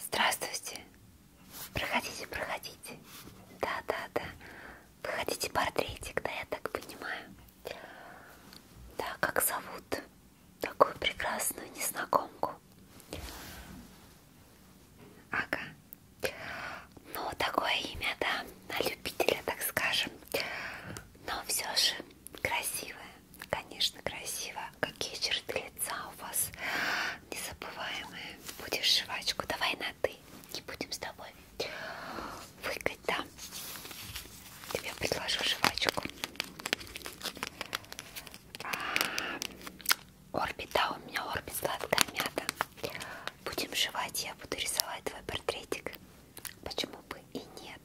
Здравствуйте. Проходите, проходите. Да, да, да. Вы хотите портретик, да, я так понимаю. Да, как зовут такую прекрасную незнакомку? Ага. Ну, такое имя, да, на любителя, так скажем. Но все же красивое. Конечно, красиво. Какие черты лица у вас незабываемые. Будешь жвачку. Давай на ты. Не будем с тобой выгать, да? Тебе предложу жвачку. А, Орбита, у меня орбит сладкая мята. Будем жевать, я буду рисовать твой портретик. Почему бы и нет?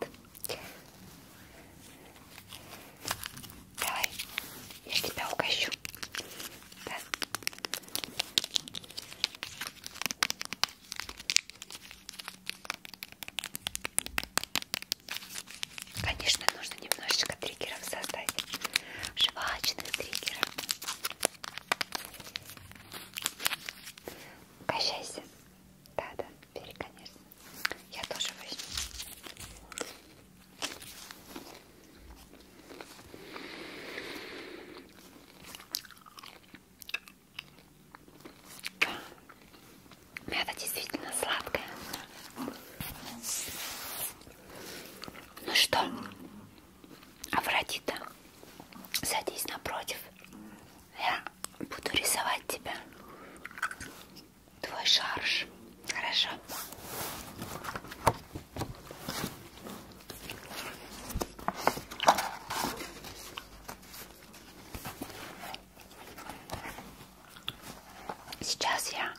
Давай, я тебя угощу. Да. Конечно, нужно немножечко триггеров создать. Жвачных триггеров. Угощайся. Да-да. Бери, конечно. Я тоже возьму. Мята действительно сладкая. Ну что, Афродита, садись напротив. Я буду рисовать тебя твой шарж. Хорошо. Сейчас я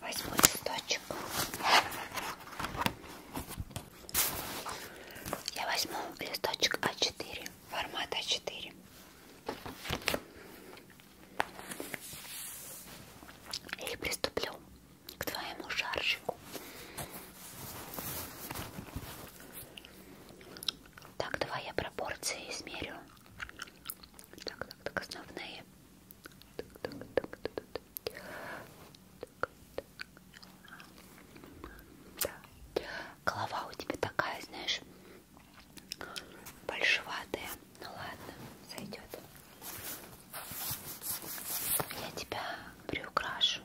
возьму листочек я возьму листочек А4, формат А4. И приступлю к твоему шаржику. Так, давай я пропорции измерю. Так, так, так, основные. Так, так, так, так, так. Так, так. Да. Голова у тебя такая, знаешь, большеватая. Ну ладно, сойдет. Я тебя приукрашу.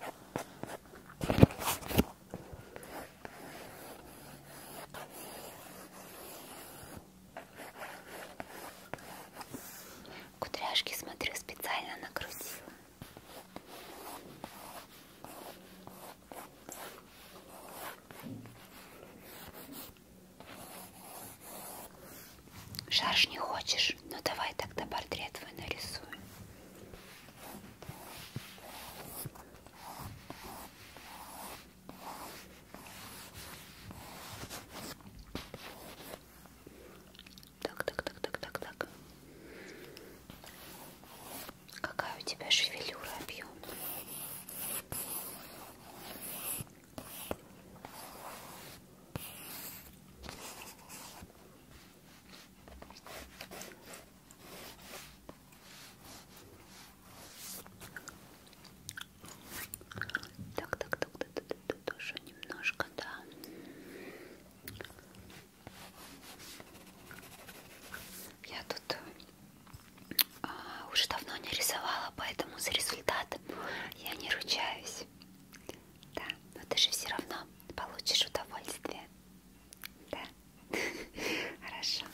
Так. Кудряшки, смотрю, специально накрутил. Шарш не хочешь? Ну давай тогда портрет твой нарисуем. Так, так, так, так, так, так. Какая у тебя шевелюра объем? Так, так, так, так, так, так, так, тоже немножко, да. Я тут а, уже давно не рисовала, поэтому за результат я не ручаюсь. Да, но ты же все равно получишь удовольствие. Да, хорошо.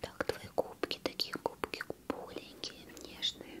Так, твои губки, такие губки пухленькие, нежные.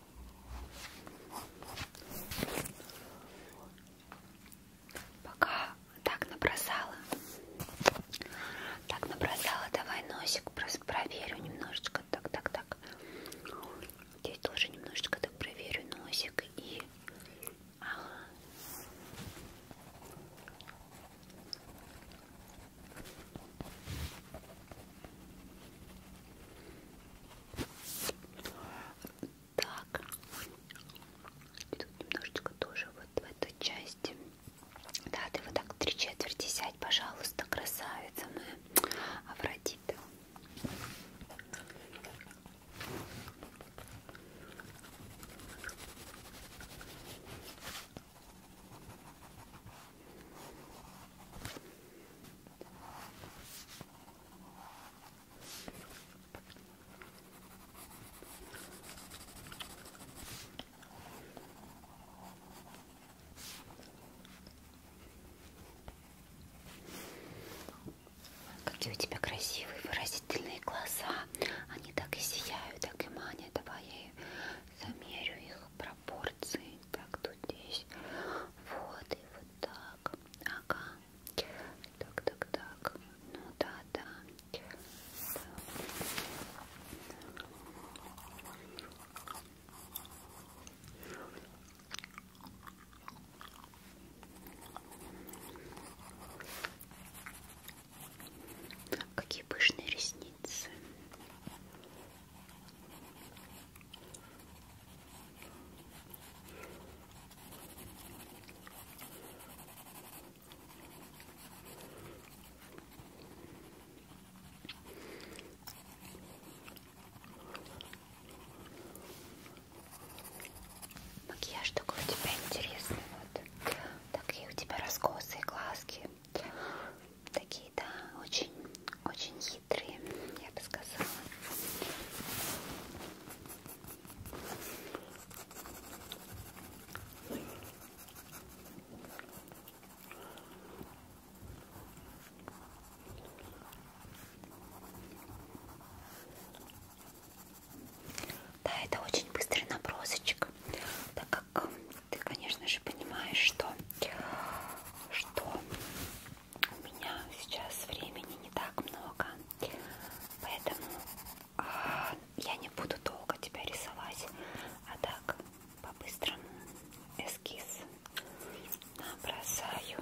Пока так набросала. Так набросала. Давай носик просто проверю немножечко. Так, так, так. Здесь тоже немножечко так проверю носик и... Ага. Так. Тут немножечко тоже вот в эту часть. Да, ты вот так три четверти сядь, пожалуйста, красавица моя. Афродита. Какие у тебя красивые выразительные глаза. Они так и сияют, так и манят. Давай я замерю их пропорции. Так, тут здесь. Вот, и вот так. Ага. Так, так, так. Ну да, да. да. Какие пышные ресницы. Макияж такой у тебя интересный, вот такие у тебя раскосы, глазки, такие, да, очень, очень хитрые, я бы сказала. Да, это очень быстрый набросочек, так как ты, конечно же, понимаешь, что, что у меня сейчас времени не так много, поэтому а, я не буду долго тебя рисовать, а так по-быстрому эскиз набросаю.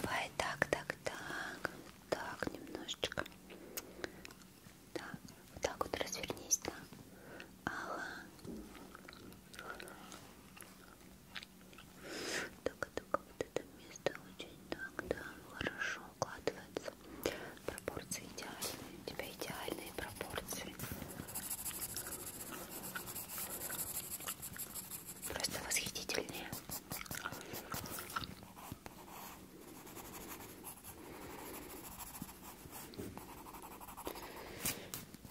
Давай так, так, так, так немножечко. Да, вот так вот развернись, да. Ага. Только-только вот это место очень так, да, хорошо укладывается. Пропорции идеальные. У тебя идеальные пропорции. Просто восхитительные.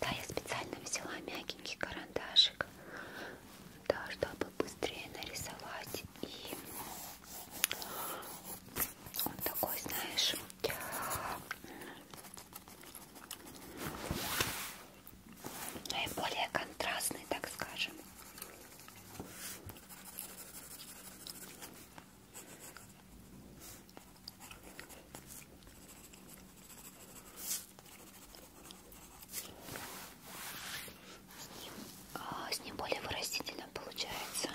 Да, я специально взяла мягенький карандашик, да, чтобы быстрее нарисовать. И он такой, знаешь, наиболее ну контрастный, так скажем. А, с ним более выразительно получается.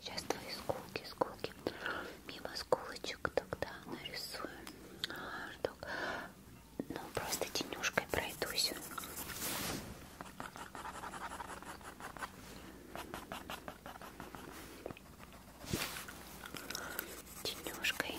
Сейчас твои скулки, скулки. Мимо скулочек тогда нарисую. Ну, просто тенюшкой пройдусь. Тенюшкой.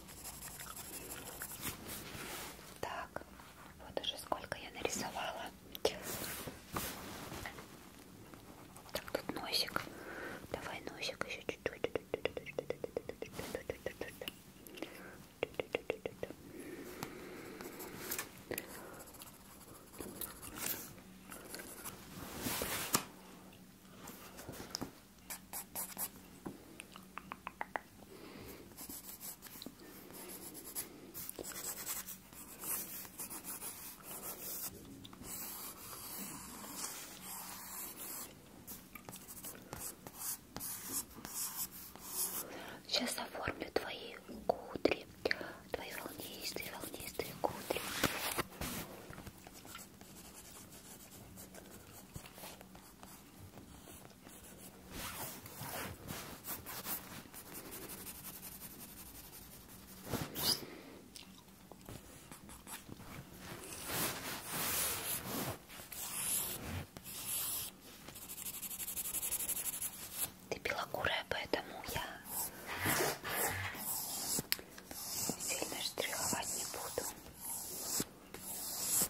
Так, вот уже сколько я нарисовала. Так, тут носик. Давай носик еще чуть-чуть. Сейчас оформлю твои кудри, твои волнистые, волнистые кудри. Ты белокурая, поэтому я сильно штриховать не буду.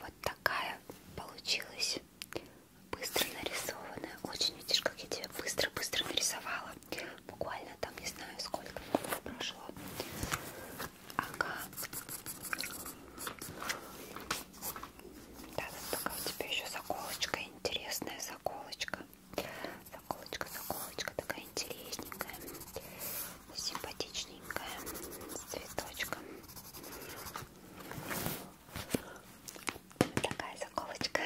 Вот такая получилась быстро нарисованная. Очень видишь, как я тебя быстро-быстро нарисовала. Буквально там не знаю сколько минут прошло. Ага. Да, вот такая у тебя еще заколочка, интересная заколочка. Заколочка, заколочка такая интересненькая симпатичненькая с цветочком. Вот такая заколочка.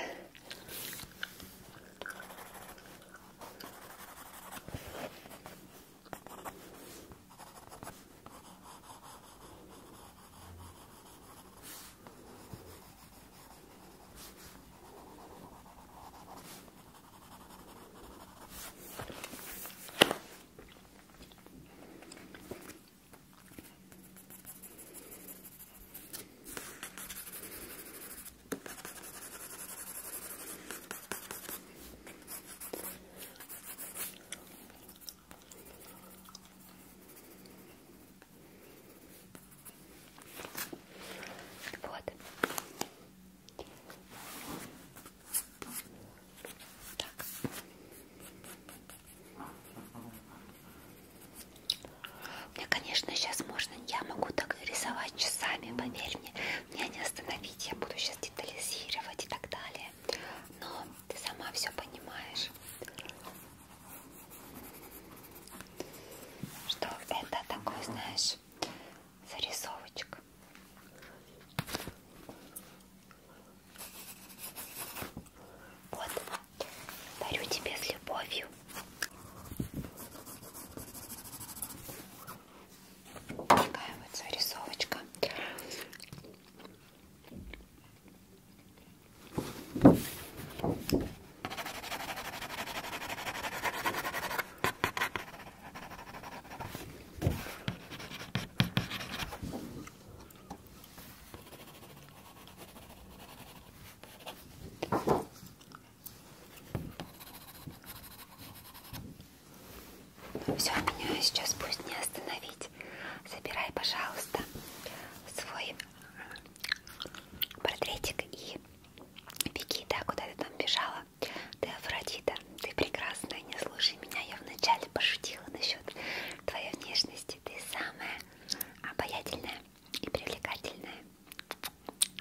Вот. Так. Мне, конечно, сейчас можно, я могу так рисовать часами, поверь мне, меня не остановить, я буду сейчас детализировать и так далее, но ты сама все понимаешь, что это такой, знаешь, зарисовочек. Вот, дарю тебе с любовью. Такая вот зарисовочка. Ну все, меня сейчас пусть не остановить. Забирай, пожалуйста, свой э, портретик и беги, да, куда ты там бежала. Ты Афродита, ты прекрасная, не слушай меня, я вначале пошутила насчет твоей внешности. Ты самая обаятельная и привлекательная.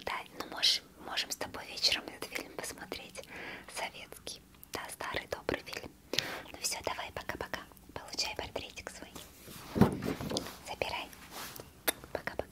Да, ну можем, можем с тобой вечером этот фильм посмотреть. Советский, да, старый добрый фильм. Ну все, давай, пока-пока. Получай портретик свой. Забирай. Пока-пока.